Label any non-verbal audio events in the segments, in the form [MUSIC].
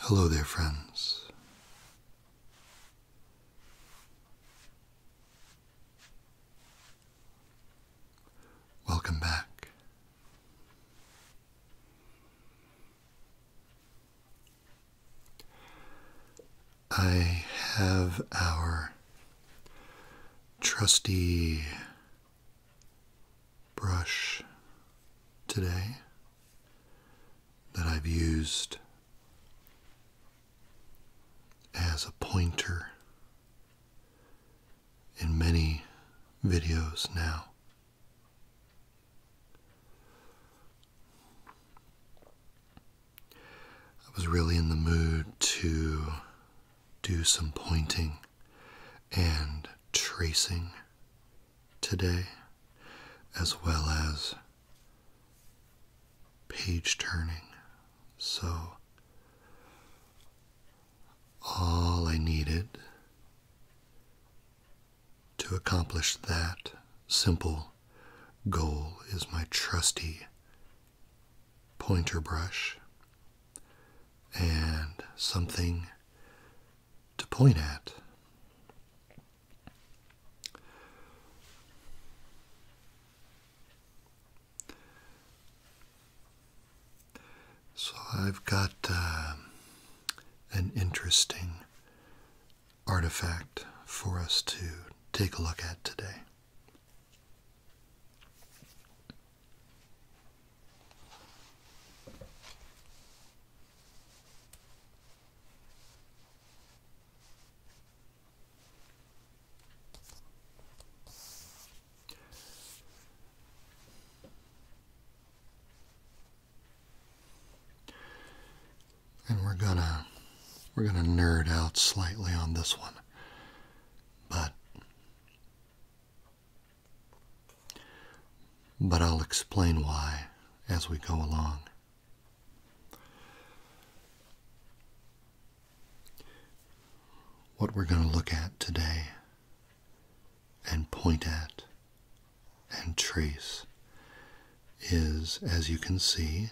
Hello there, friends. Welcome back. I have our trusty brush today that I've used as a pointer in many videos now. I was really in the mood to do some pointing and tracing today, as well as page turning. So, all I needed to accomplish that simple goal is my trusty pointer brush and something to point at. So I've got um, an interesting artifact for us to take a look at today. And we're gonna we're gonna nerd out slightly on this one. But but I'll explain why as we go along. What we're going to look at today and point at and trace is, as you can see,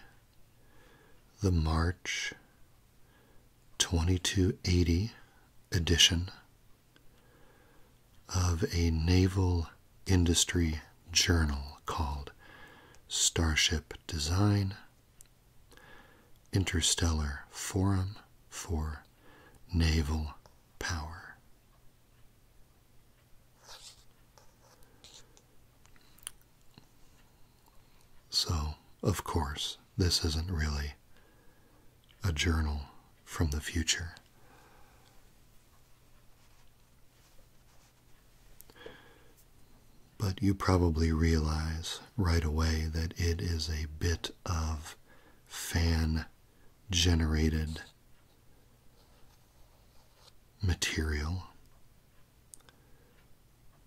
the March 2280 edition of a naval industry journal called Starship Design Interstellar Forum for Naval Power. So, of course, this isn't really a journal from the future. But you probably realize right away that it is a bit of fan generated material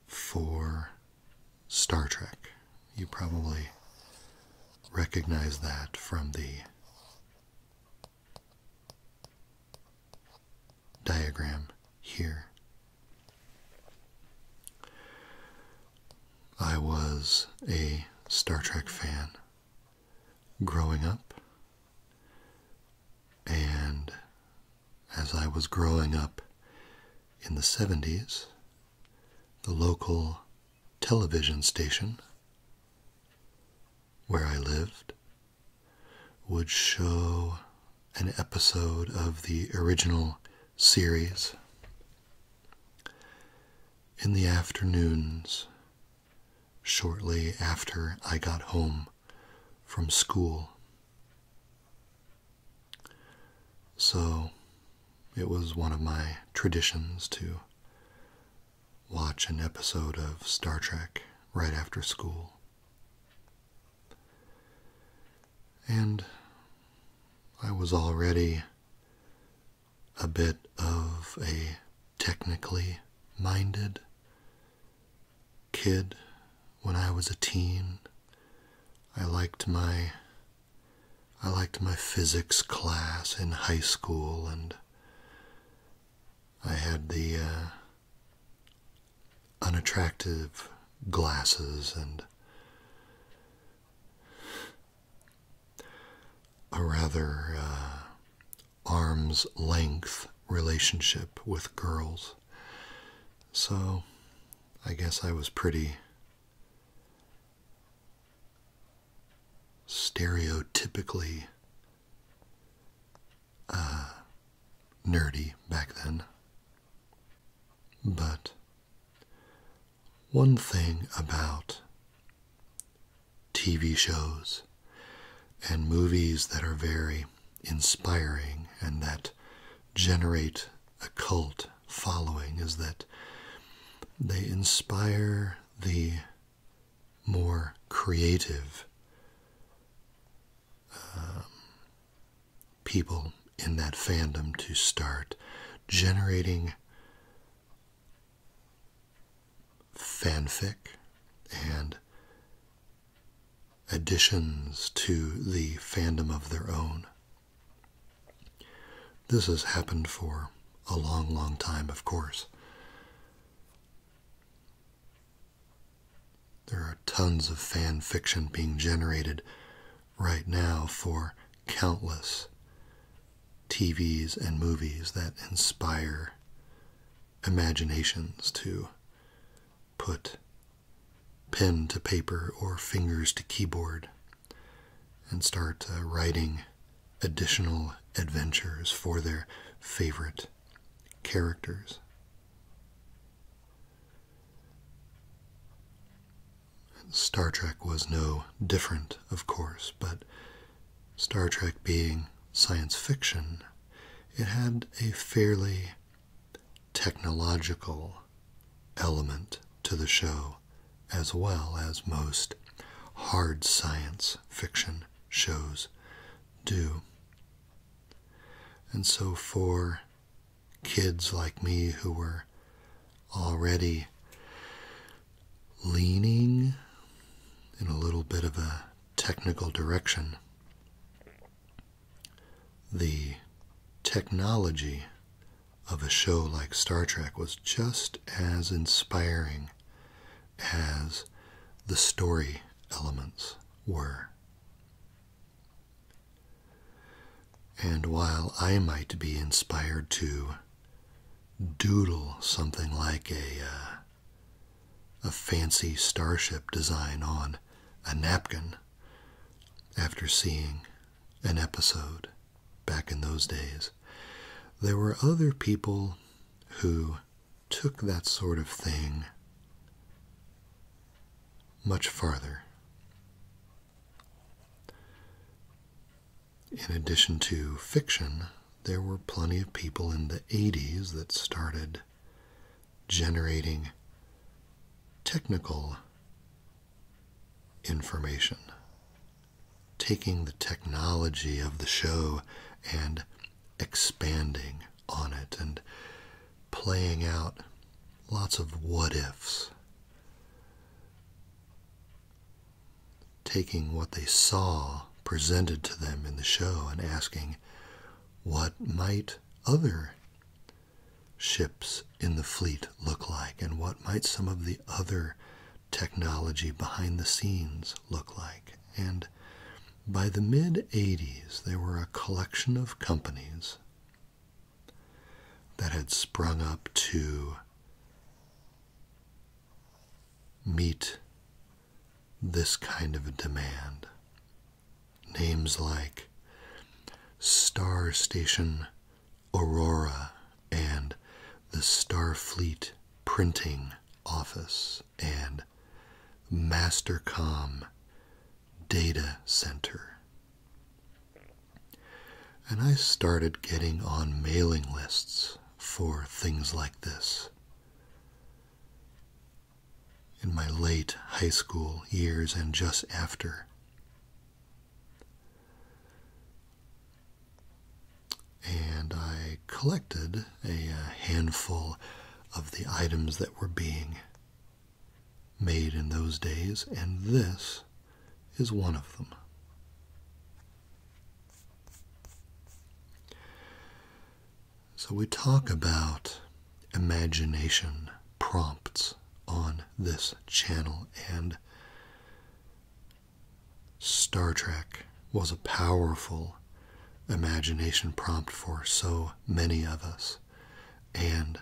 for Star Trek. You probably recognize that from the diagram here. I was a Star Trek fan growing up, and as I was growing up in the 70s, the local television station where I lived would show an episode of the original series. In the afternoons, shortly after I got home from school. So it was one of my traditions to watch an episode of Star Trek right after school. And I was already a bit of a technically minded kid when I was a teen. I liked my I liked my physics class in high school and I had the uh, unattractive glasses and a rather uh, arm's length relationship with girls. So I guess I was pretty stereotypically uh, nerdy back then. But one thing about TV shows and movies that are very inspiring and that generate a cult following is that they inspire the more creative um, people in that fandom to start generating fanfic and additions to the fandom of their own. This has happened for a long, long time, of course. There are tons of fan fiction being generated right now for countless TVs and movies that inspire imaginations to put pen to paper or fingers to keyboard and start uh, writing additional adventures for their favorite characters. Star Trek was no different, of course, but Star Trek being science fiction, it had a fairly technological element to the show, as well as most hard science fiction shows do. And so, for kids like me who were already leaning in a little bit of a technical direction, the technology of a show like Star Trek was just as inspiring as the story elements were. And while I might be inspired to doodle something like a, uh, a fancy starship design on a napkin after seeing an episode back in those days, there were other people who took that sort of thing much farther. In addition to fiction, there were plenty of people in the 80s that started generating technical information, taking the technology of the show and expanding on it and playing out lots of what ifs. Taking what they saw presented to them in the show and asking, what might other ships in the fleet look like and what might some of the other technology behind the scenes look like. And by the mid 80s, there were a collection of companies that had sprung up to meet this kind of demand. Names like Star Station Aurora and the Starfleet Printing Office and Mastercom Data Center. And I started getting on mailing lists for things like this. In my late high school years and just after. And I collected a uh, handful of the items that were being made in those days, and this is one of them. So we talk about imagination prompts on this channel, and Star Trek was a powerful imagination prompt for so many of us. And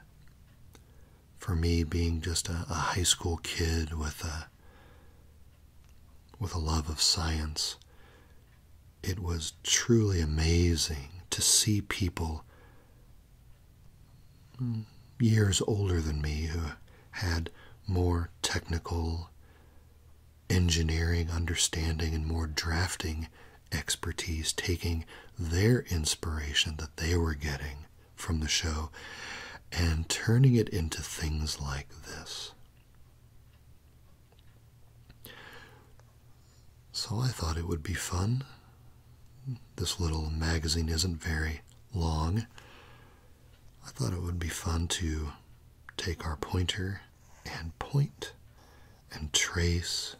for me, being just a, high school kid with a with a love of science, it was truly amazing to see people years older than me who had more technical engineering understanding and more drafting expertise, taking their inspiration that they were getting from the show and turning it into things like this. So I thought it would be fun. This little magazine isn't very long. I thought it would be fun to take our pointer and point and trace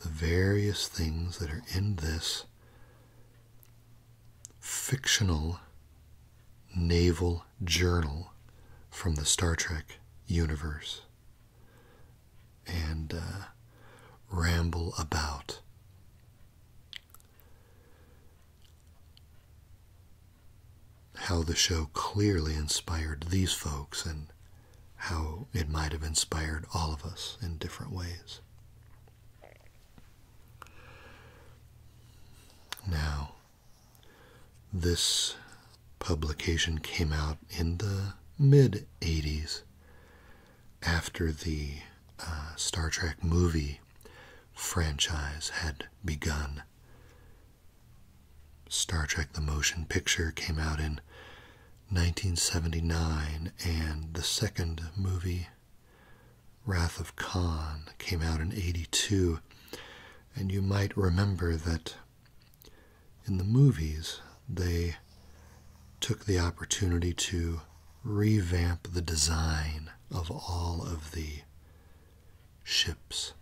the various things that are in this fictional naval journal from the Star Trek universe and uh, ramble about how the show clearly inspired these folks and how it might have inspired all of us in different ways. Now, this publication came out in the mid 80s after the uh, Star Trek movie franchise had begun Star Trek the Motion Picture came out in 1979, and the second movie, Wrath of Khan, came out in 82. And you might remember that in the movies, they took the opportunity to revamp the design of all of the ships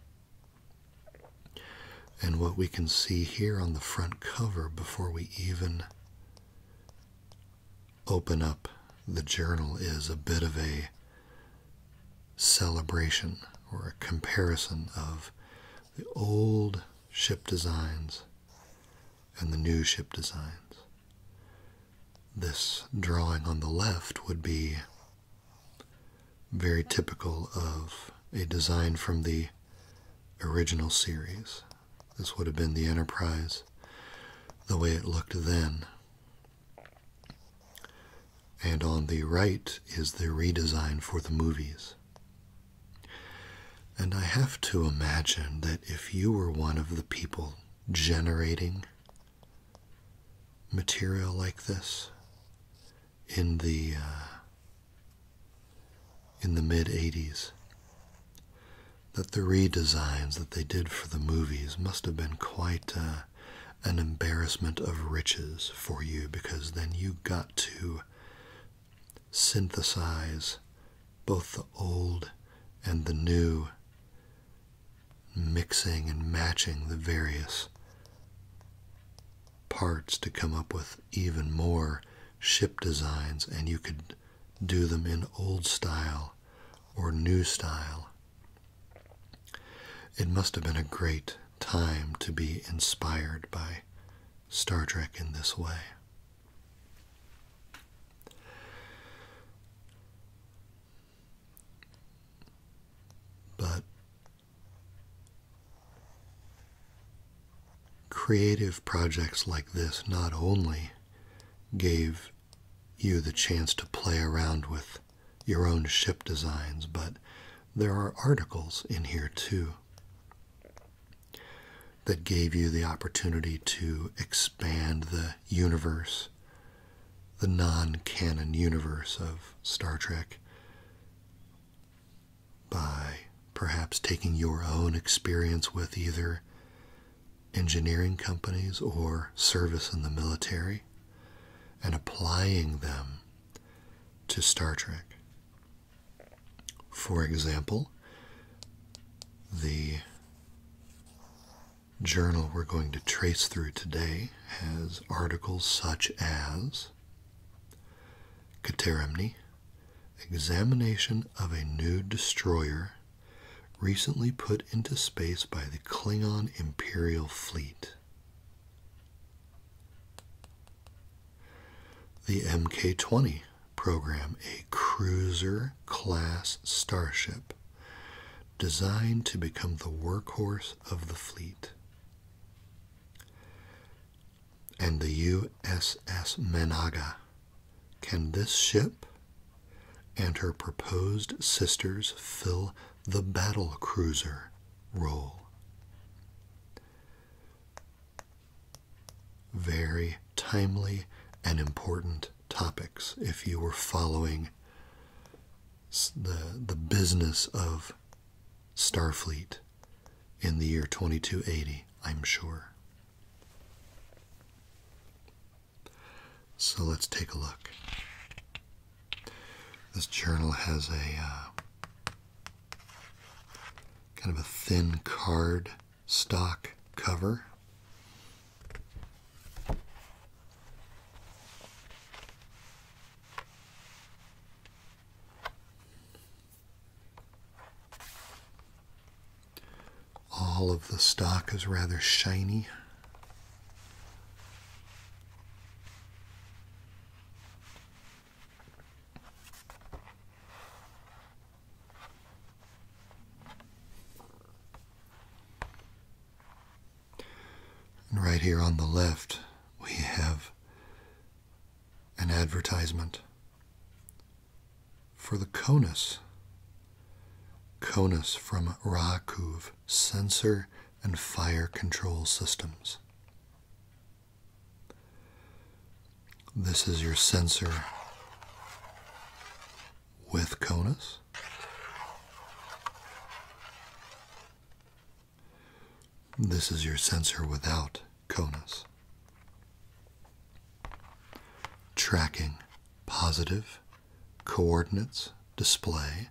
and what we can see here on the front cover before we even open up the journal is a bit of a celebration or a comparison of the old ship designs and the new ship designs. This drawing on the left would be very typical of a design from the original series. This would have been the Enterprise the way it looked then. And on the right is the redesign for the movies. And I have to imagine that if you were one of the people generating material like this, in the uh, in the mid 80s that the redesigns that they did for the movies must have been quite uh, an embarrassment of riches for you because then you got to synthesize both the old and the new mixing and matching the various parts to come up with even more ship designs, and you could do them in old style or new style. It must have been a great time to be inspired by Star Trek in this way. But Creative projects like this not only gave you the chance to play around with your own ship designs, but there are articles in here too that gave you the opportunity to expand the universe, the non canon universe of Star Trek, by perhaps taking your own experience with either engineering companies or service in the military and applying them to Star Trek. For example, the journal we're going to trace through today has articles such as Katerimni, examination of a new destroyer recently put into space by the Klingon Imperial Fleet. The MK 20 program, a cruiser class starship designed to become the workhorse of the fleet and the USS Menaga. Can this ship and her proposed sisters fill the battle cruiser role? Very timely and important topics if you were following the, the business of Starfleet in the year 2280, I'm sure. So let's take a look. This journal has a uh, kind of a thin card stock cover. All of the stock is rather shiny. And right here on the left, we have an advertisement for the CONUS. CONUS from RACUV, Sensor and Fire Control Systems. This is your sensor with CONUS. This is your sensor without CONUS. Tracking positive coordinates display.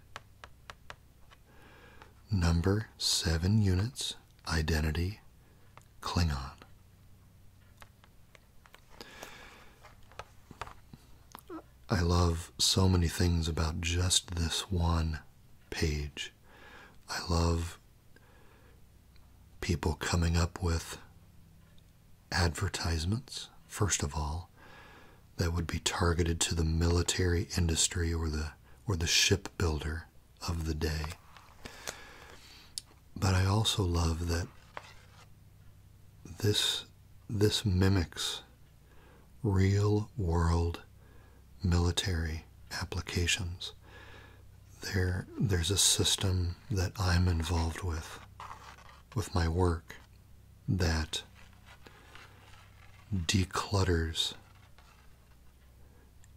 Number 7 units identity Klingon. I love so many things about just this one page. I love people coming up with advertisements, first of all, that would be targeted to the military industry or the or the shipbuilder of the day. But I also love that this this mimics real world military applications. there's a system that I'm involved with, with my work, that declutters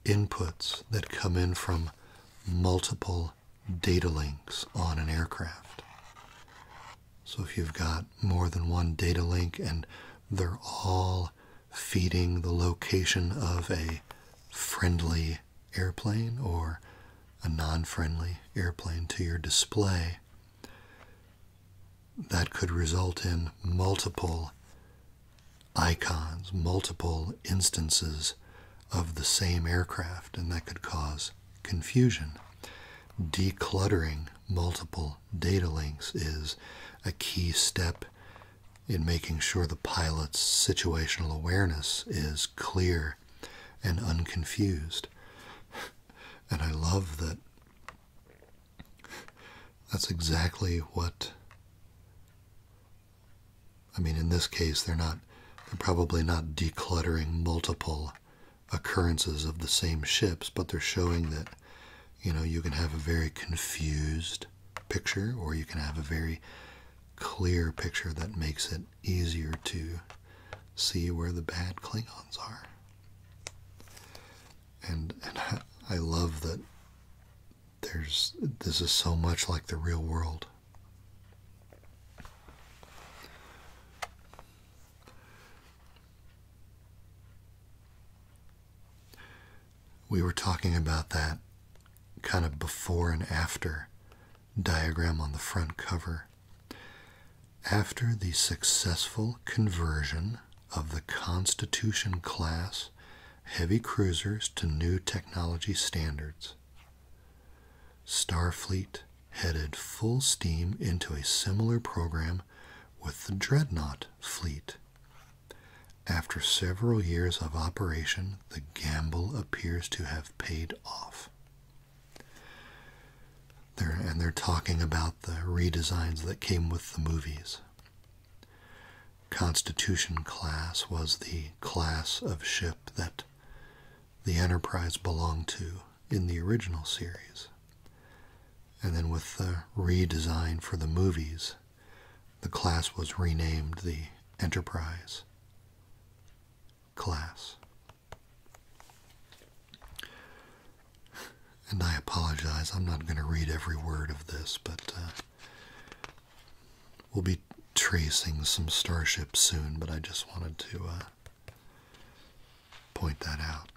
inputs that come in from multiple data links on an aircraft. So if you've got more than one data link and they're all feeding the location of a friendly airplane or a non friendly airplane to your display. That could result in multiple icons, multiple instances of the same aircraft, and that could cause confusion. Decluttering multiple data links is a key step in making sure the pilot's situational awareness is clear and unconfused. And I love that that's exactly what I mean in this case they're not they're probably not decluttering multiple occurrences of the same ships, but they're showing that you know, you can have a very confused picture, or you can have a very clear picture that makes it easier to see where the bad Klingons are. And and I love that there's this is so much like the real world. We were talking about that kind of before and after diagram on the front cover. After the successful conversion of the Constitution class heavy cruisers to new technology standards, Starfleet headed full steam into a similar program with the Dreadnought Fleet. After several years of operation, the gamble appears to have paid off. and they're talking about the redesigns that came with the movies. Constitution class was the class of ship that the Enterprise belonged to in the original series. And then with the redesign for the movies, the class was renamed the Enterprise class. And I apologize, I'm not going to read every word of this, but uh, we'll be tracing some starships soon, but I just wanted to uh, point that out.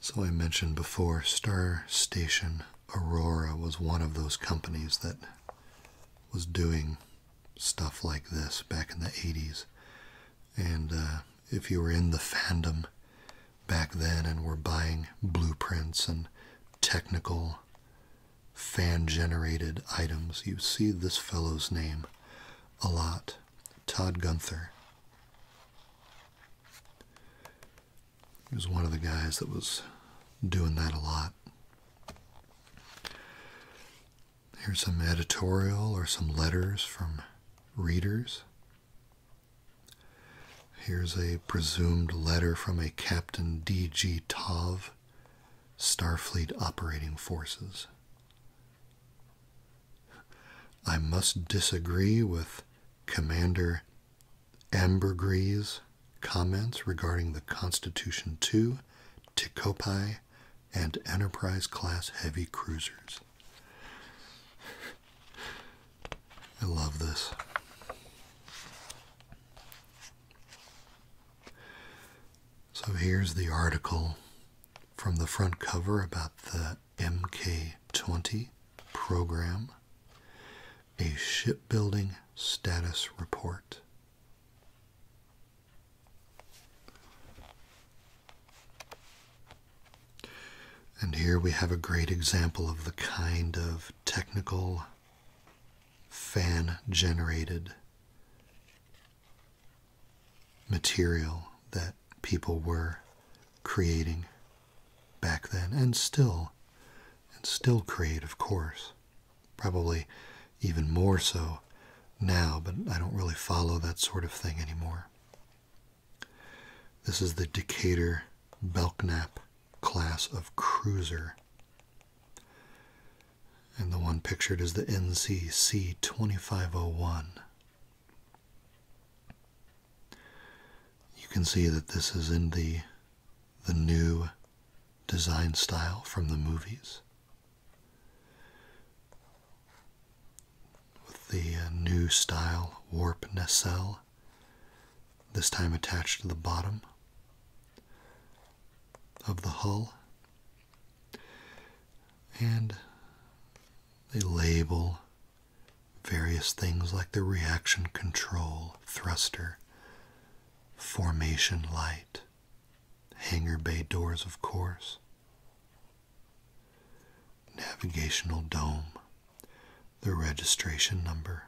So I mentioned before, Star Station Aurora was one of those companies that was doing stuff like this back in the 80s. And uh, if you were in the fandom back then and were buying blueprints and technical fan generated items. You see this fellow's name a lot Todd Gunther. He was one of the guys that was doing that a lot. Here's some editorial or some letters from readers. Here's a presumed letter from a Captain D.G. Tov, Starfleet Operating Forces. I must disagree with Commander Ambergris' comments regarding the Constitution II, Ticopai, and Enterprise class heavy cruisers. I love this. So here's the article from the front cover about the MK20 program, a shipbuilding status report. And here we have a great example of the kind of technical fan generated material that people were creating back then and still and still create of course probably even more so now but i don't really follow that sort of thing anymore this is the decatur belknap class of cruiser. And the one pictured is the NCC 2501. You can see that this is in the, the new design style from the movies. With the uh, new style warp nacelle this time attached to the bottom of the hull. And they label various things like the reaction control, thruster, formation light, hangar bay doors, of course, navigational dome, the registration number,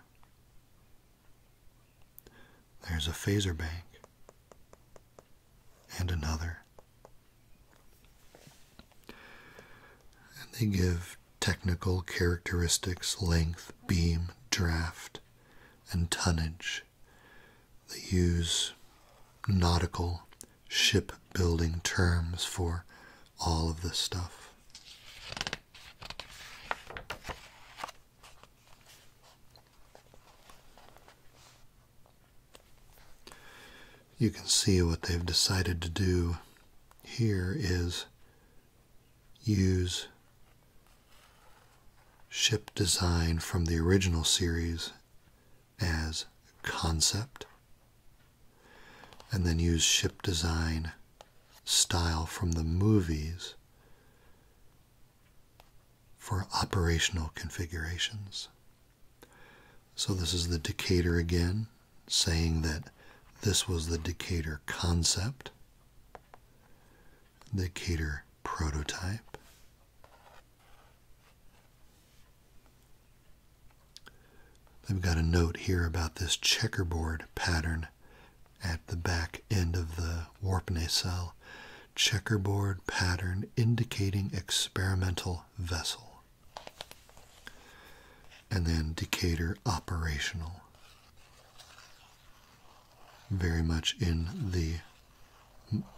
there's a phaser bank and another. And they give technical characteristics, length, beam, draft, and tonnage. They use nautical shipbuilding terms for all of this stuff. You can see what they've decided to do here is use ship design from the original series as concept and then use ship design style from the movies for operational configurations. So, this is the Decatur again, saying that this was the Decatur concept, the Decatur prototype. i have got a note here about this checkerboard pattern at the back end of the warp nacelle checkerboard pattern indicating experimental vessel. And then Decatur operational. Very much in the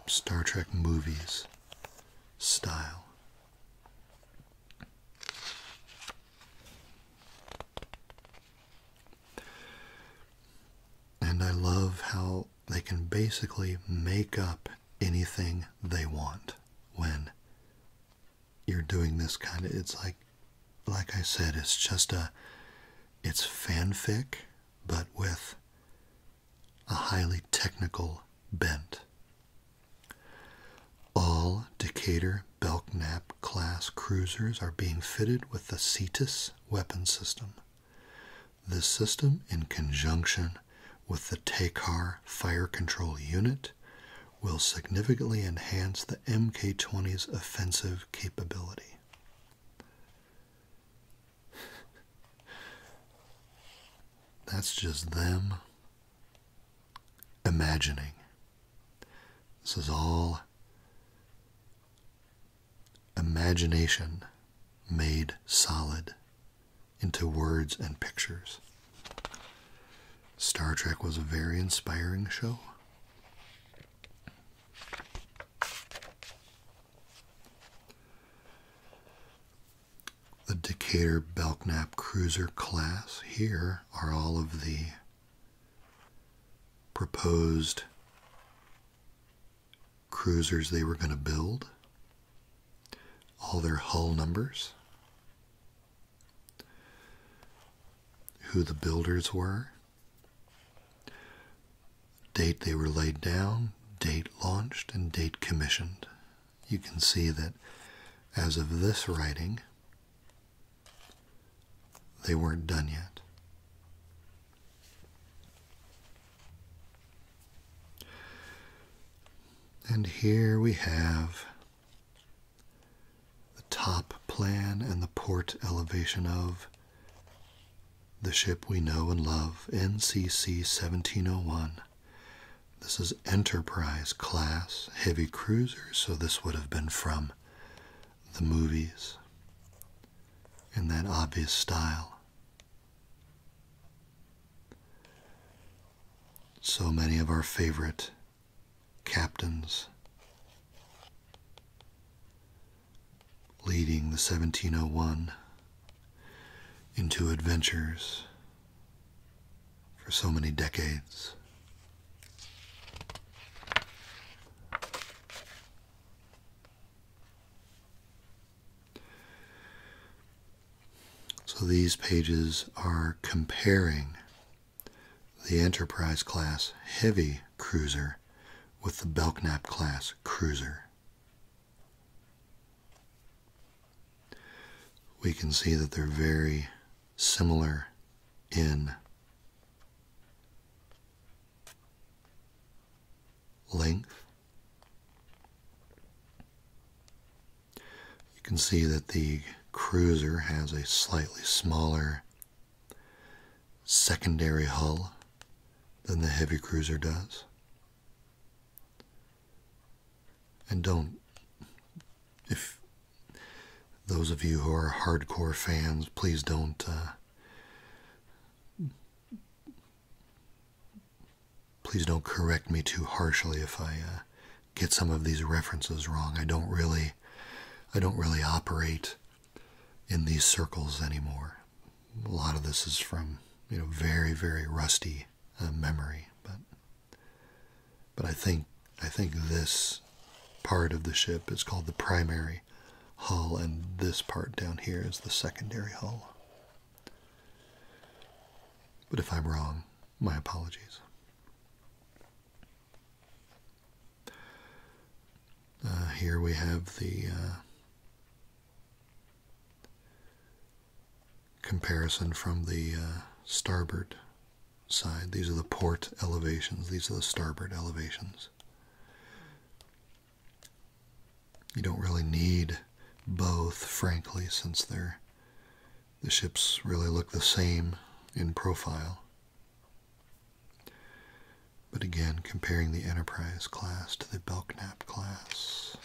Star Trek movies style. And I love how they can basically make up anything they want when you're doing this kind of it's like like I said it's just a it's fanfic but with a highly technical bent all Decatur Belknap class cruisers are being fitted with the CETUS weapon system. This system, in conjunction with the TACAR fire control unit, will significantly enhance the Mk 20's offensive capability. [LAUGHS] That's just them imagining this is all imagination made solid into words and pictures. Star Trek was a very inspiring show. The Decatur Belknap Cruiser class here are all of the proposed cruisers they were going to build, all their hull numbers, who the builders were, date they were laid down, date launched, and date commissioned. You can see that as of this writing, they weren't done yet. And here we have the top plan and the port elevation of the ship we know and love, NCC 1701. This is Enterprise class heavy cruiser, so this would have been from the movies in that obvious style. So many of our favorite captains leading the 1701 into adventures for so many decades. So these pages are comparing the Enterprise class heavy cruiser with the Belknap class cruiser. We can see that they're very similar in length. You can see that the cruiser has a slightly smaller secondary hull than the heavy cruiser does. And don't, if those of you who are hardcore fans, please don't. Uh, please don't correct me too harshly if I uh, get some of these references wrong. I don't really, I don't really operate in these circles anymore. A lot of this is from you know very very rusty uh, memory, but but I think I think this part of the ship is called the primary hull, and this part down here is the secondary hull. But if I'm wrong, my apologies. Uh, here we have the uh, comparison from the uh, starboard side. These are the port elevations. These are the starboard elevations. You don't really need both, frankly, since they're the ships really look the same in profile. But again, comparing the Enterprise class to the Belknap class.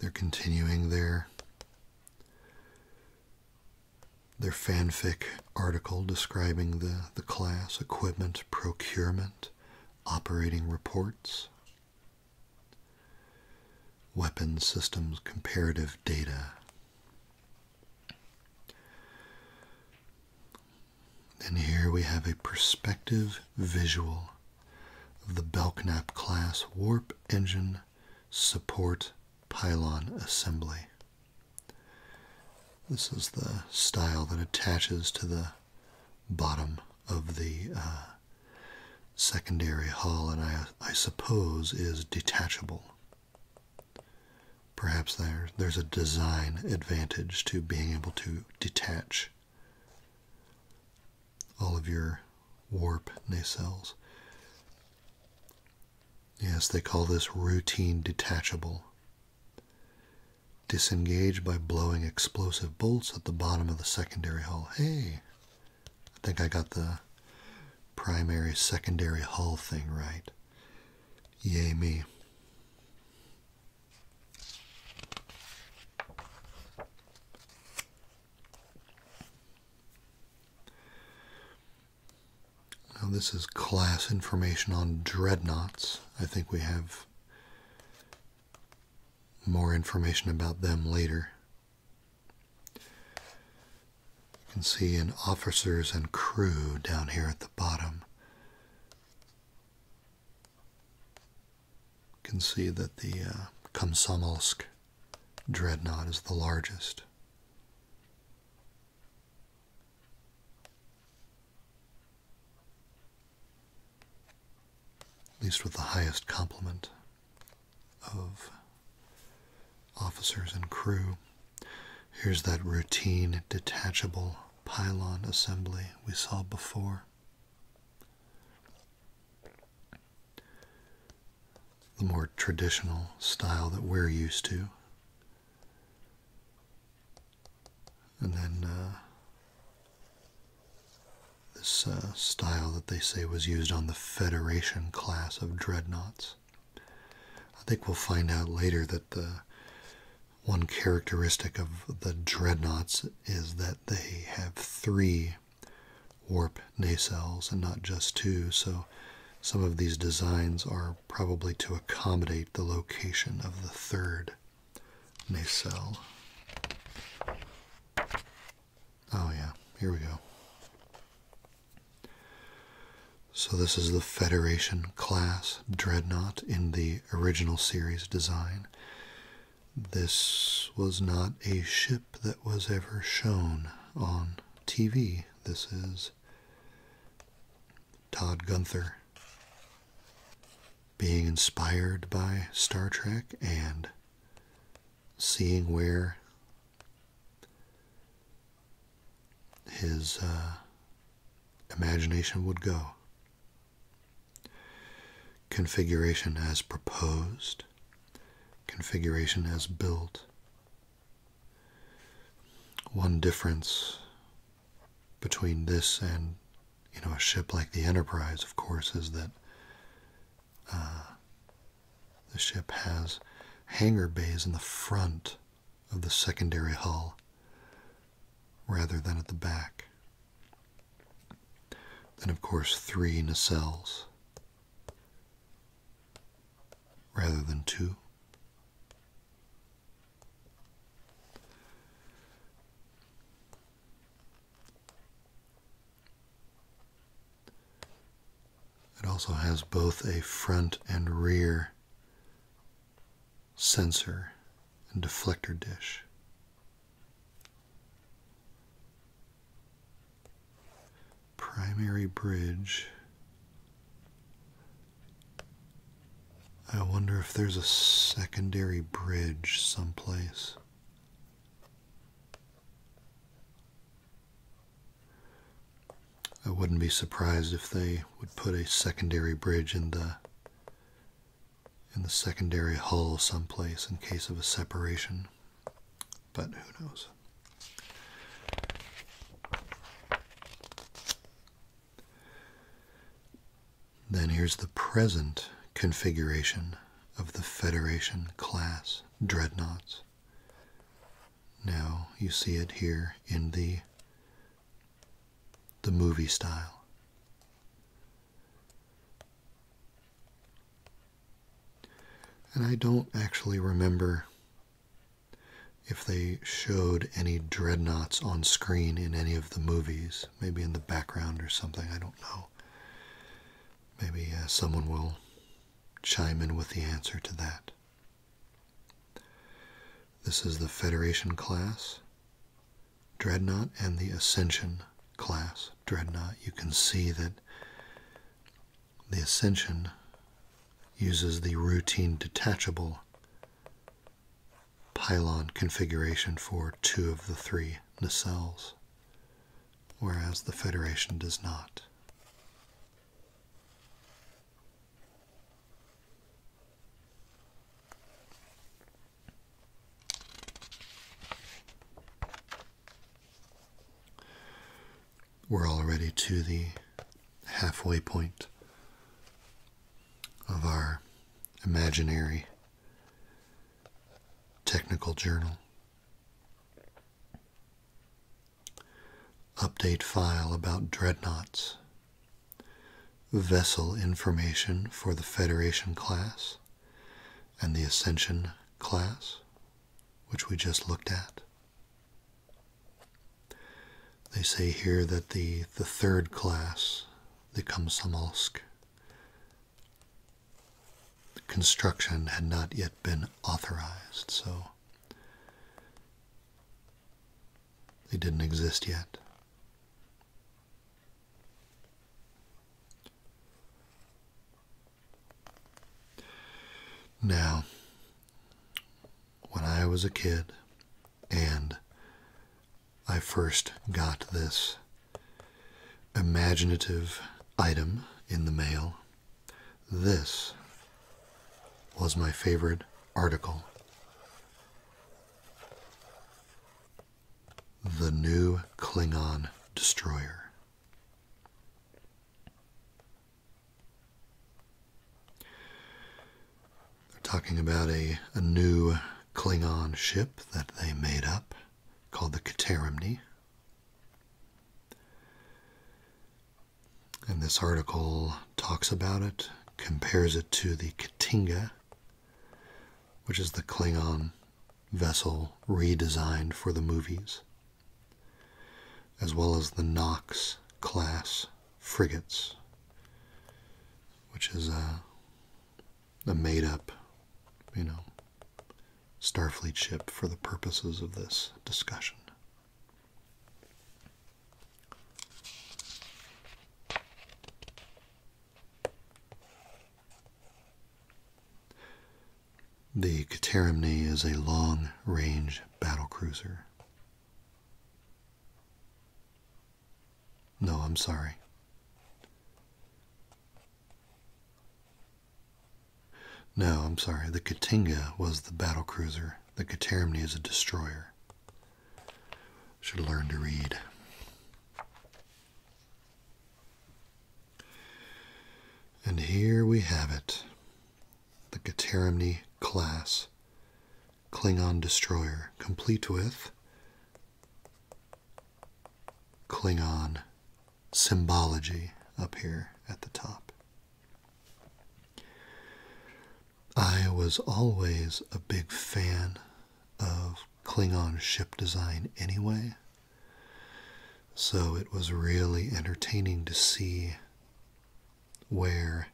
They're continuing their their fanfic article describing the, the class, equipment, procurement, operating reports, weapons systems comparative data. And here we have a perspective visual of the Belknap class warp engine support pylon assembly. This is the style that attaches to the bottom of the uh, secondary hull, and I, suppose is detachable. Perhaps there's a design advantage to being able to detach all of your warp nacelles. Yes, they call this routine detachable. Disengage by blowing explosive bolts at the bottom of the secondary hull. Hey, I think I got the primary secondary hull thing right. Yay me. Now, this is class information on dreadnoughts. I think we have more information about them later. You can see in officers and crew down here at the bottom. You can see that the uh, Komsomolsk dreadnought is the largest. At least with the highest complement of officers and crew. Here's that routine detachable pylon assembly we saw before the more traditional style that we're used to. And then uh, this uh, style that they say was used on the Federation class of dreadnoughts. I think we'll find out later that the one characteristic of the dreadnoughts is that they have three warp nacelles and not just two, so some of these designs are probably to accommodate the location of the third nacelle. Oh yeah, here we go. So this is the Federation class dreadnought in the original series design. This was not a ship that was ever shown on TV. This is Todd Gunther being inspired by Star Trek and seeing where his uh, imagination would go. Configuration as proposed, configuration as built. One difference between this and you know a ship like the Enterprise, of course, is that uh, the ship has hangar bays in the front of the secondary hull rather than at the back. Then, of course, three nacelles rather than two. It also has both a front and rear sensor and deflector dish. Primary bridge. I wonder if there's a secondary bridge someplace. I wouldn't be surprised if they would put a secondary bridge in the in the secondary hull someplace in case of a separation. But who knows? Then here's the present configuration of the Federation class dreadnoughts. Now you see it here in the the movie style. And I don't actually remember if they showed any dreadnoughts on screen in any of the movies, maybe in the background or something, I don't know. Maybe uh, someone will chime in with the answer to that. This is the Federation class. Dreadnought and the Ascension class Dreadnought, you can see that the Ascension uses the routine detachable pylon configuration for two of the three nacelles, whereas the Federation does not. We're already to the halfway point of our imaginary technical journal. Update file about dreadnoughts vessel information for the Federation class and the Ascension class, which we just looked at. They say here that the, the third class, the Komsomolsk, construction had not yet been authorized, so they didn't exist yet. Now, when I was a kid and I first got this imaginative item in the mail, this was my favorite article. The new Klingon destroyer. They're talking about a, new Klingon ship that they made up called the Katerimni. And this article talks about it, compares it to the Katinga which is the Klingon vessel redesigned for the movies, as well as the Knox class frigates, which is uh, a, a made up, you know, Starfleet ship for the purposes of this discussion. The Katerimni is a long-range battle cruiser. No, I'm sorry. No, I'm sorry. The Katinga was the battle cruiser. The Katerimni is a destroyer. Should learn to read. And here we have it the Katerimni class Klingon destroyer, complete with Klingon symbology up here at the top. I was always a big fan of Klingon ship design anyway. So it was really entertaining to see where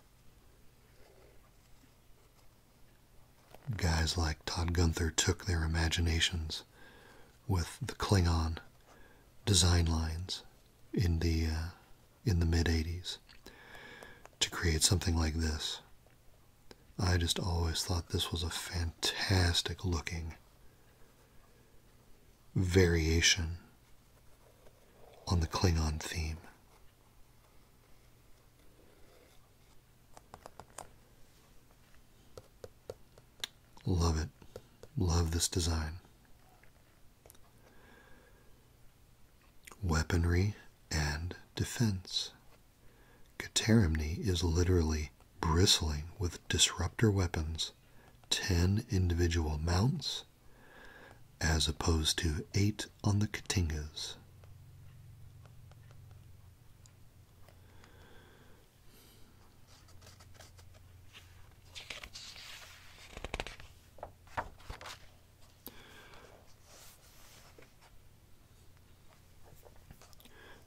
guys like Todd Gunther took their imaginations with the Klingon design lines in the uh, in the mid 80s to create something like this I just always thought this was a fantastic looking variation on the Klingon theme. Love it. Love this design. Weaponry and defense. Katerimni is literally bristling with disruptor weapons, 10 individual mounts, as opposed to 8 on the Katingas.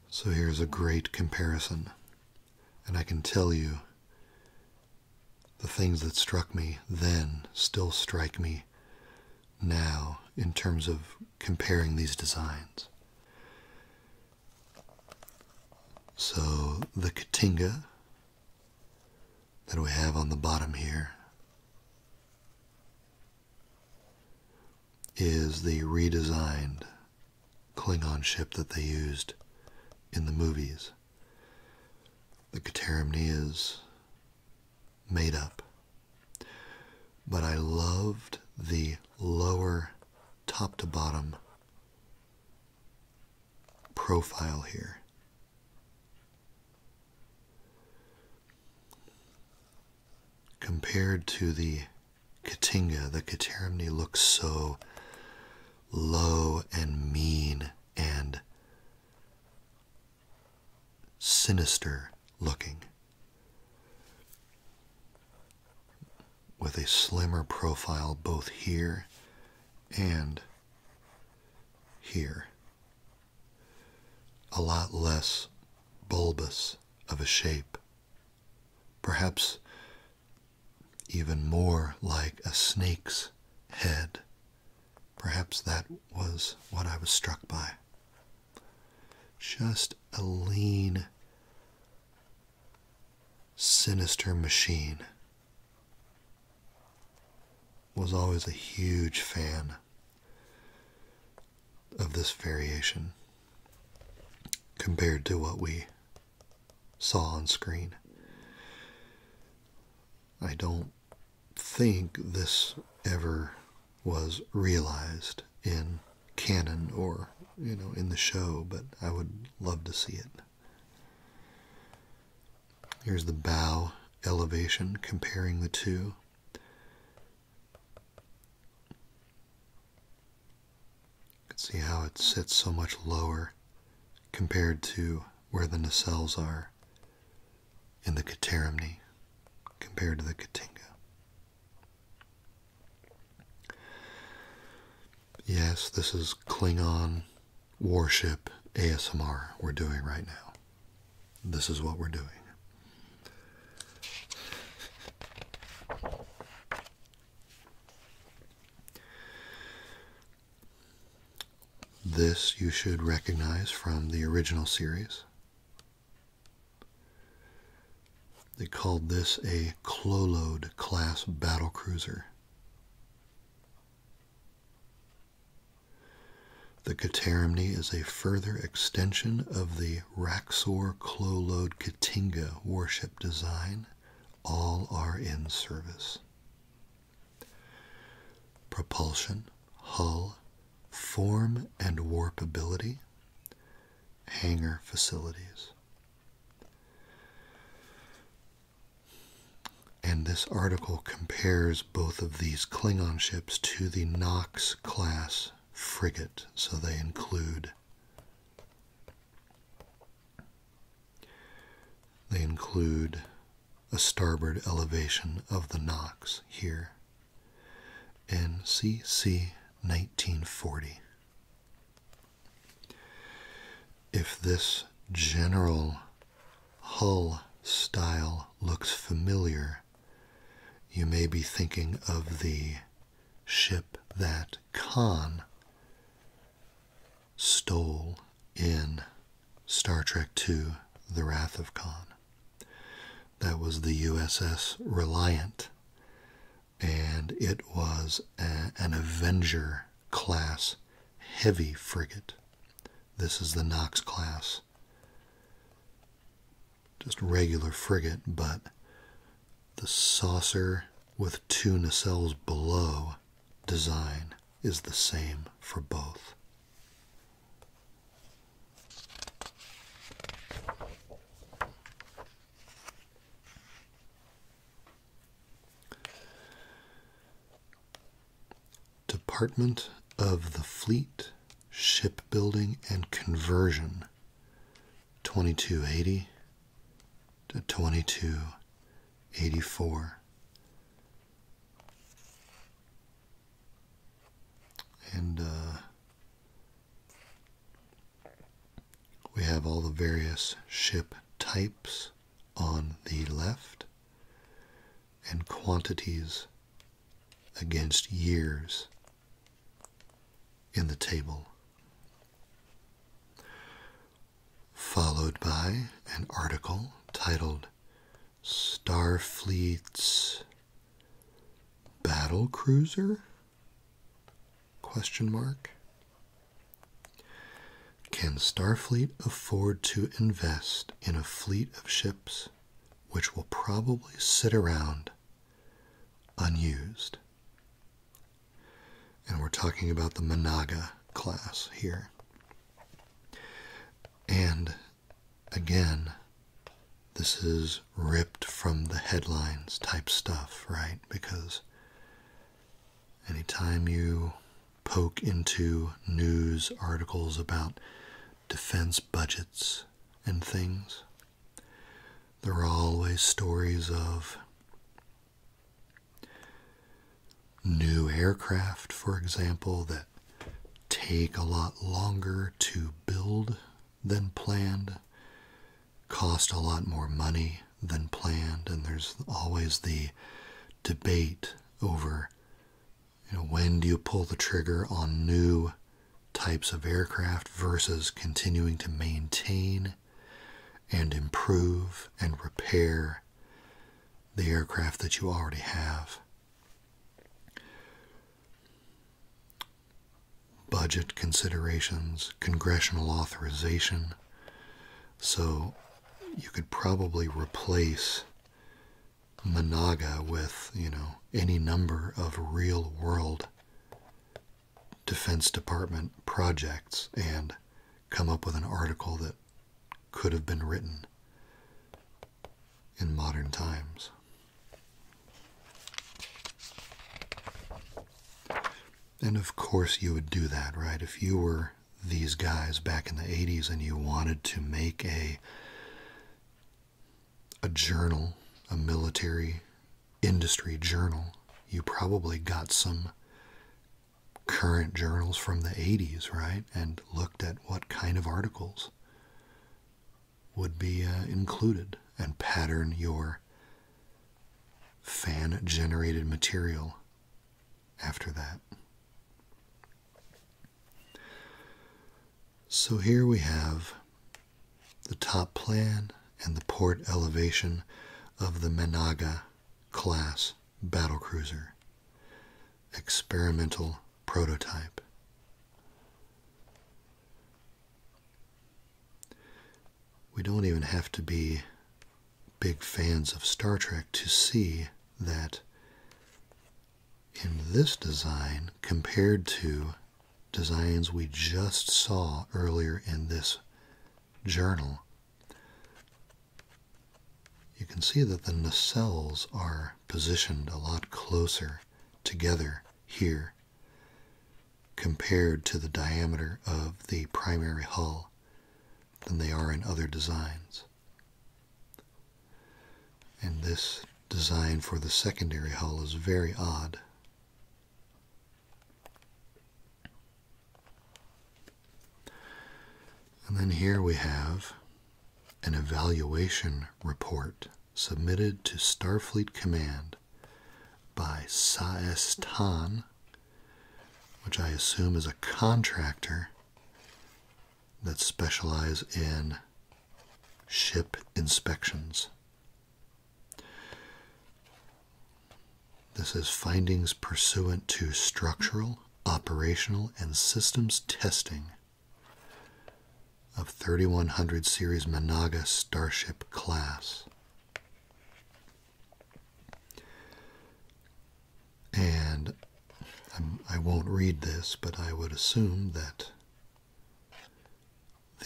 So here's a great comparison. And I can tell you the things that struck me then still strike me now in terms of comparing these designs. So the Katinga that we have on the bottom here is the redesigned Klingon ship that they used in the movies. The Katerimni is made up. But I loved the lower top to bottom profile here compared to the Katinga, the Katerimni looks so low and mean and sinister looking. With a slimmer profile both here and here a lot less bulbous of a shape, perhaps even more like a snake's head. Perhaps that was what I was struck by. Just a lean, sinister machine. Was always a huge fan of this variation compared to what we saw on screen. I don't think this ever was realized in canon or you know in the show but I would love to see it. Here's the bow elevation comparing the two you can see how it sits so much lower compared to where the nacelles are in the Katerimni compared to the Katinga. Yes, this is Klingon warship ASMR we're doing right now. This is what we're doing. This you should recognize from the original series. They called this a Clolode class battle cruiser. The Katerimni is a further extension of the Raxor Clolode Katinga warship design. All are in service. Propulsion, hull, form and warpability. hangar facilities. And this article compares both of these Klingon ships to the Knox class frigate, so they include they include a starboard elevation of the Knox here in CC 1940. If this general hull style looks familiar you may be thinking of the ship that Khan stole in Star Trek II The Wrath of Khan. That was the USS Reliant, and it was an Avenger class heavy frigate. This is the Knox class just regular frigate, but the saucer with two nacelles below design is the same for both. Department of the Fleet shipbuilding and conversion 2280 to 2284. And uh, we have all the various ship types on the left and quantities against years in the table, followed by an article titled Starfleet's Battle Cruiser? Question mark. Can Starfleet afford to invest in a fleet of ships which will probably sit around unused. And we're talking about the Managa class here. And again, this is ripped from the headlines type stuff, right? Because anytime you poke into news articles about defense budgets and things, there are always stories of new aircraft, for example, that take a lot longer to build than planned, cost a lot more money than planned, and there's always the debate over when do you pull the trigger on new types of aircraft versus continuing to maintain and improve and repair the aircraft that you already have. Budget considerations, congressional authorization. So you could probably replace Managa with, you know, any number of real world Defense Department projects and come up with an article that could have been written in modern times. And of course, you would do that, right? If you were these guys back in the 80s and you wanted to make a a journal, a military industry journal, you probably got some current journals from the 80s, right? And looked at what kind of articles would be uh, included and pattern your fan generated material after that. So here we have the top plan and the port elevation of the Menaga class battle cruiser. Experimental prototype. We don't even have to be big fans of Star Trek to see that in this design compared to designs we just saw earlier in this journal, you can see that the nacelles are positioned a lot closer together here compared to the diameter of the primary hull than they are in other designs. And this design for the secondary hull is very odd. And then here we have an evaluation report submitted to Starfleet Command by Saes which I assume is a contractor that specializes in ship inspections. This is findings pursuant to structural, operational, and systems testing of 3100 series Managa Starship class. And I will not read this, but I would assume that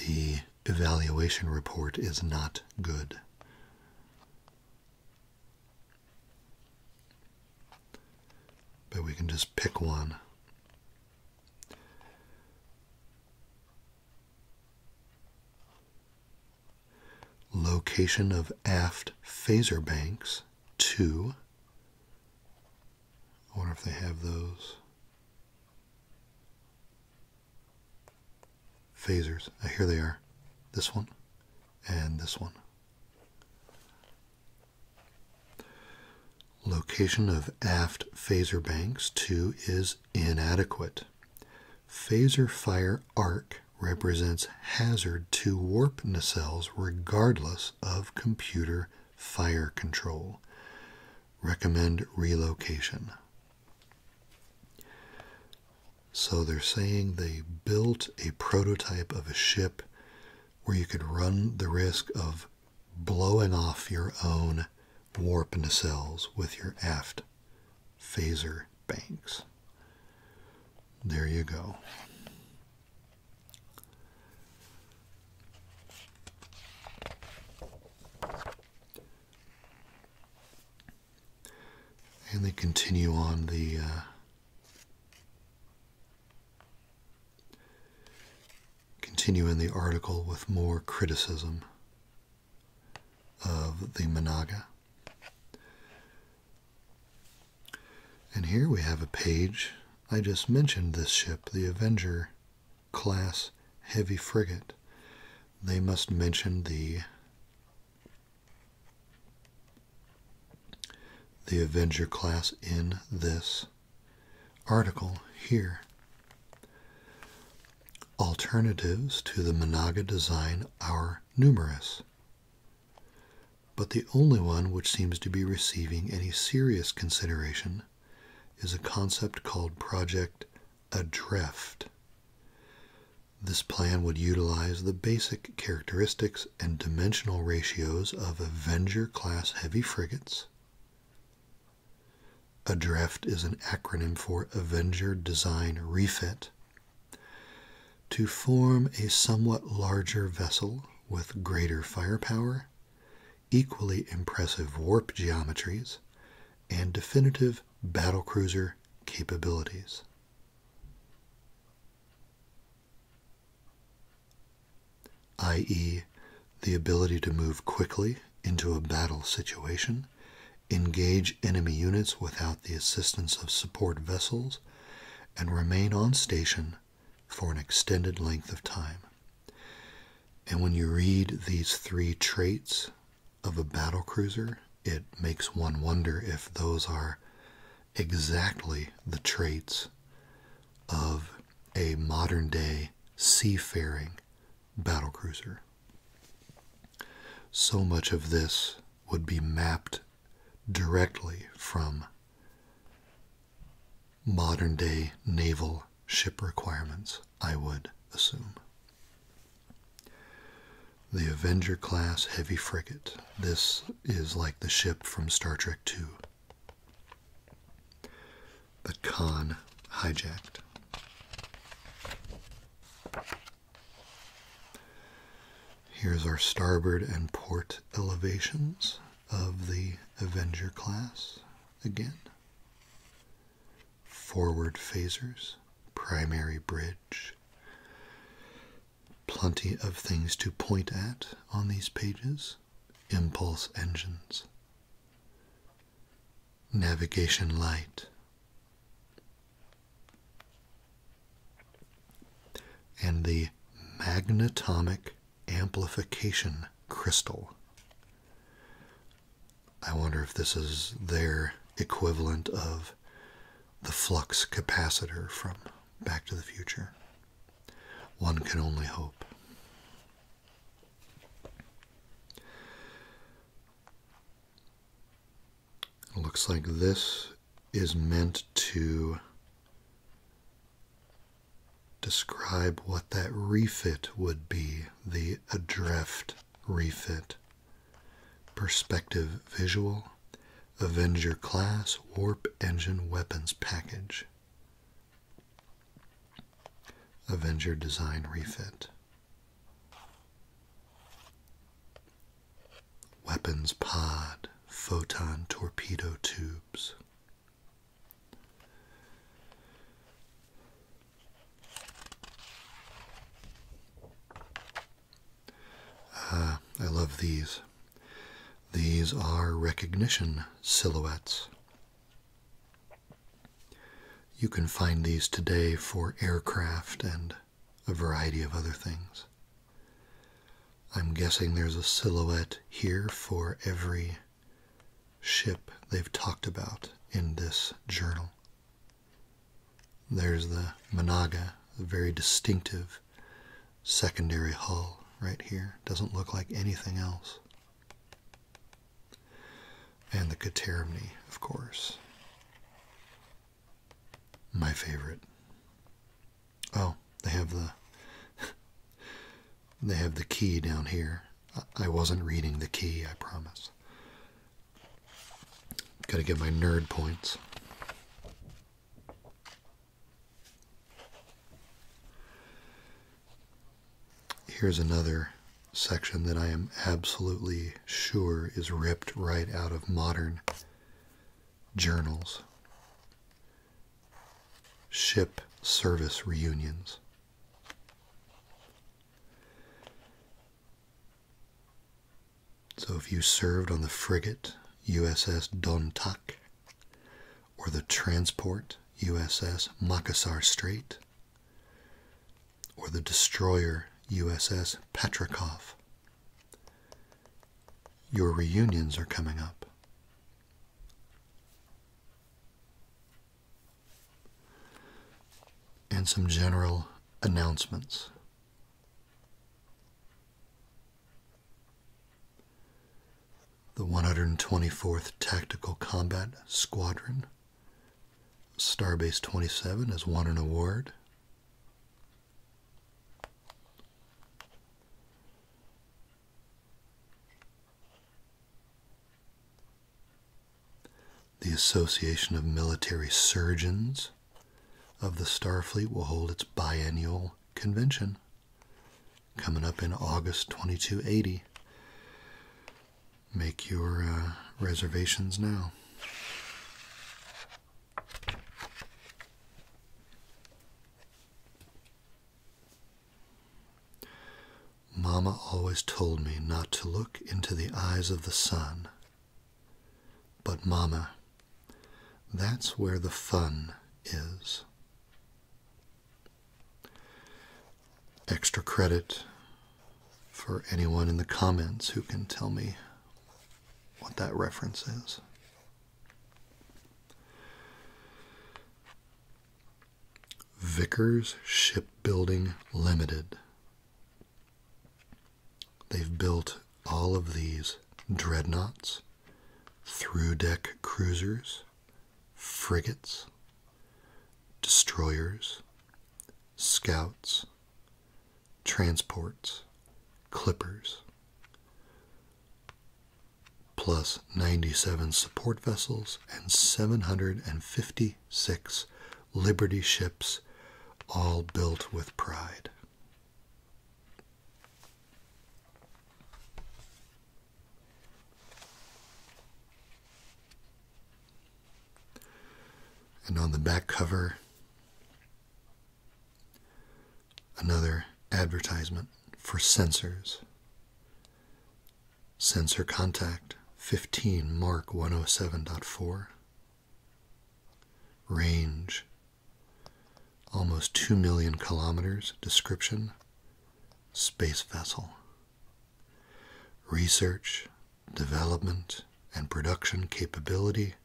the evaluation report is not good. But we can just pick one. Location of aft phaser banks, two. I wonder if they have those. Phasers. Uh, here they are. This one and this one. Location of aft phaser banks 2 is inadequate. Phaser fire arc represents hazard to warp nacelles regardless of computer fire control recommend relocation. So they're saying they built a prototype of a ship where you could run the risk of blowing off your own warp nacelles with your aft phaser banks. There you go. And they continue on the uh, continue in the article with more criticism of the Managa. And here we have a page. I just mentioned this ship, the Avenger class heavy frigate, they must mention the the Avenger class in this article here. Alternatives to the Monaga design are numerous, but the only one which seems to be receiving any serious consideration is a concept called Project Adrift. This plan would utilize the basic characteristics and dimensional ratios of Avenger class heavy frigates. Adrift is an acronym for Avenger Design Refit. To form a somewhat larger vessel with greater firepower equally impressive warp geometries, and definitive battle cruiser capabilities. i.e., the ability to move quickly into a battle situation, engage enemy units without the assistance of support vessels, and remain on station for an extended length of time. And when you read these three traits of a battle cruiser, it makes one wonder if those are exactly the traits of a modern day seafaring battle cruiser. So much of this would be mapped directly from modern day naval ship requirements, I would assume. The Avenger class heavy frigate. This is like the ship from Star Trek II. The Khan hijacked. Here's our starboard and port elevations of the Avenger class again forward phasers, primary bridge. Plenty of things to point at on these pages. Impulse engines, navigation light, and the magnetomic amplification crystal. I wonder if this is their equivalent of the flux capacitor from Back to the Future. One can only hope. looks like this is meant to Describe what that refit would be, the adrift refit. Perspective visual, Avenger class warp engine weapons package. Avenger design refit. Weapons pod, photon torpedo tubes. Ah, I love these. These are recognition silhouettes. You can find these today for aircraft and a variety of other things. I'm guessing there's a silhouette here for every ship they've talked about in this journal. There's the Managa, a very distinctive secondary hull right here. Doesn't look like anything else. And the Katerimni, of course. My favorite. Oh, they have the they have the key down here. I wasn't reading the key, I promise. Gotta get my nerd points. Here's another section that I am absolutely sure is ripped right out of modern journals. Ship service reunions. So if you served on the frigate USS Dontak or the transport USS Makassar Strait or the destroyer USS Patrikov, your reunions are coming up and some general announcements. The 124th Tactical Combat Squadron, Starbase 27, has won an award. The Association of Military Surgeons of the Starfleet will hold its biennial convention coming up in August 2280. Make your uh, reservations now. Mama always told me not to look into the eyes of the sun. But, Mama, that's where the fun is. Extra credit for anyone in the comments who can tell me what that reference is. Vickers Shipbuilding Limited. They've built all of these dreadnoughts, through deck cruisers, frigates, destroyers, scouts, transports, clippers plus 97 support vessels and 756 Liberty ships, all built with pride. And on the back cover, another advertisement for censors. Sensor contact 15 Mark 107.4. Range almost 2 million kilometers. Description Space vessel. Research, development, and production capability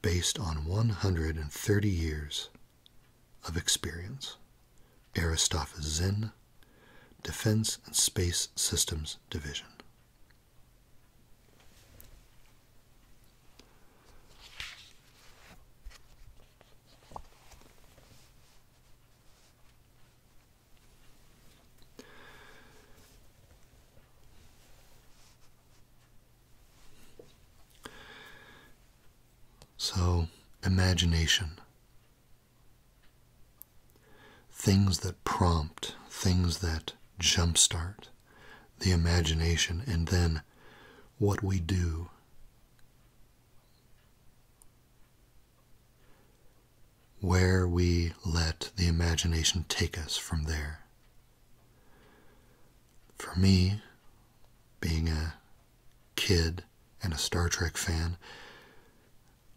based on 130 years of experience. Aristophanes Zen, Defense and Space Systems Division. So, imagination Things that prompt, things that jumpstart the imagination, and then what we do. Where we let the imagination take us from there. For me, being a kid and a Star Trek fan,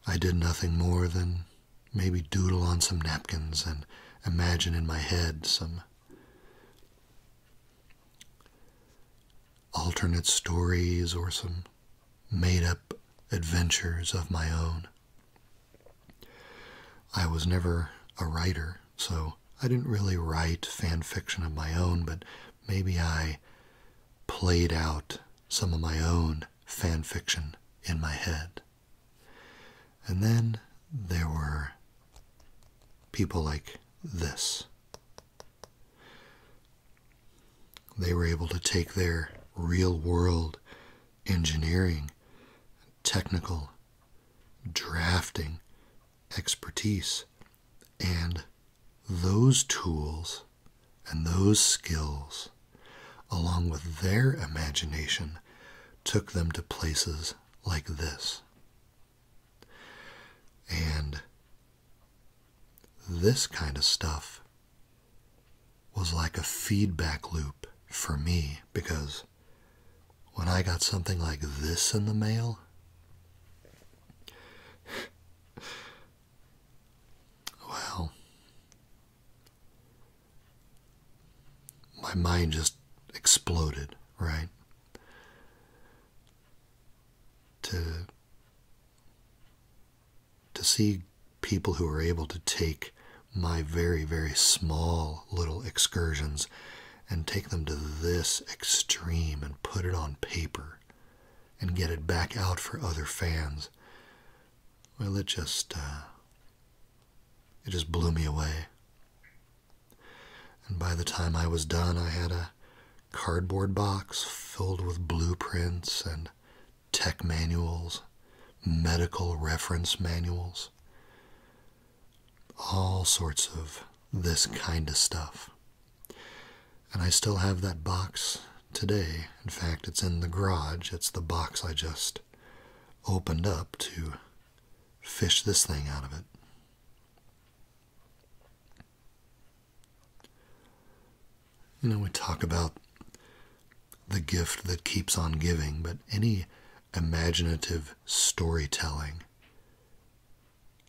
I did nothing more than maybe doodle on some napkins and imagine in my head some alternate stories or some made up adventures of my own. I was never a writer, so I didn't really write fan fiction of my own, but maybe I played out some of my own fan fiction in my head. And then there were people like this. They were able to take their real world engineering, technical, drafting expertise and those tools and those skills, along with their imagination, took them to places like this. And this kind of stuff was like a feedback loop for me because when I got something like this in the mail, well, my mind just exploded, right? To to see people who are able to take my very very small little excursions and take them to this extreme and put it on paper and get it back out for other fans. Well, it just uh, it just blew me away. And by the time I was done, I had a cardboard box filled with blueprints and tech manuals, medical reference manuals, all sorts of this kind of stuff. And I still have that box today. In fact, it's in the garage. It's the box I just opened up to fish this thing out of it. You know, we talk about the gift that keeps on giving, but any imaginative storytelling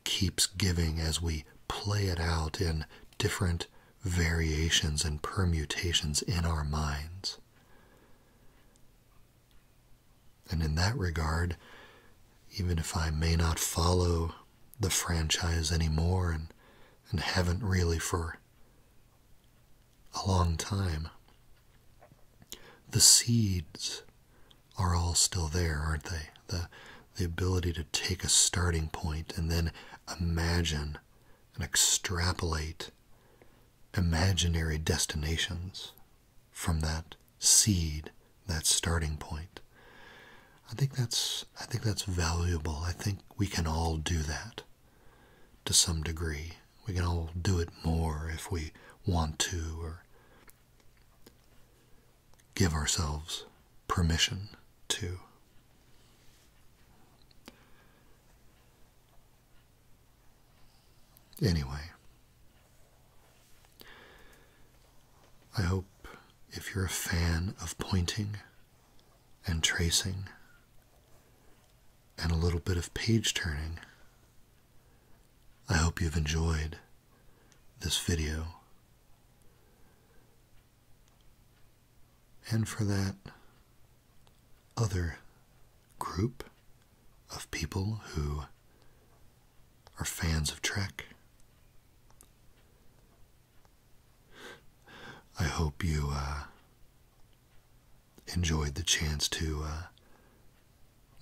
keeps giving as we play it out in different variations and permutations in our minds. And in that regard, even if I may not follow the franchise anymore and, and haven't really for a long time, the seeds are all still there, aren't they? The, the ability to take a starting point and then imagine and extrapolate imaginary destinations from that seed, that starting point. I think that's I think that's valuable. I think we can all do that to some degree. We can all do it more if we want to or give ourselves permission to. Anyway, I hope if you're a fan of pointing and tracing and a little bit of page turning, I hope you've enjoyed this video. And for that other group of people who are fans of Trek. I hope you uh, enjoyed the chance to uh,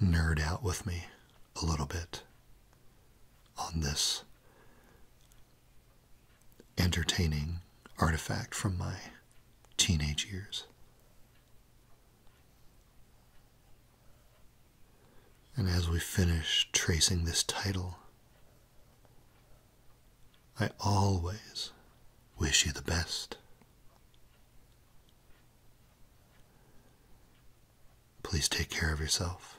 nerd out with me a little bit on this entertaining artifact from my teenage years. And as we finish tracing this title, I always wish you the best. Please take care of yourself.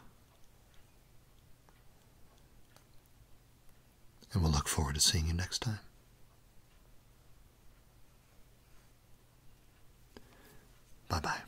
And we'll look forward to seeing you next time. Bye bye.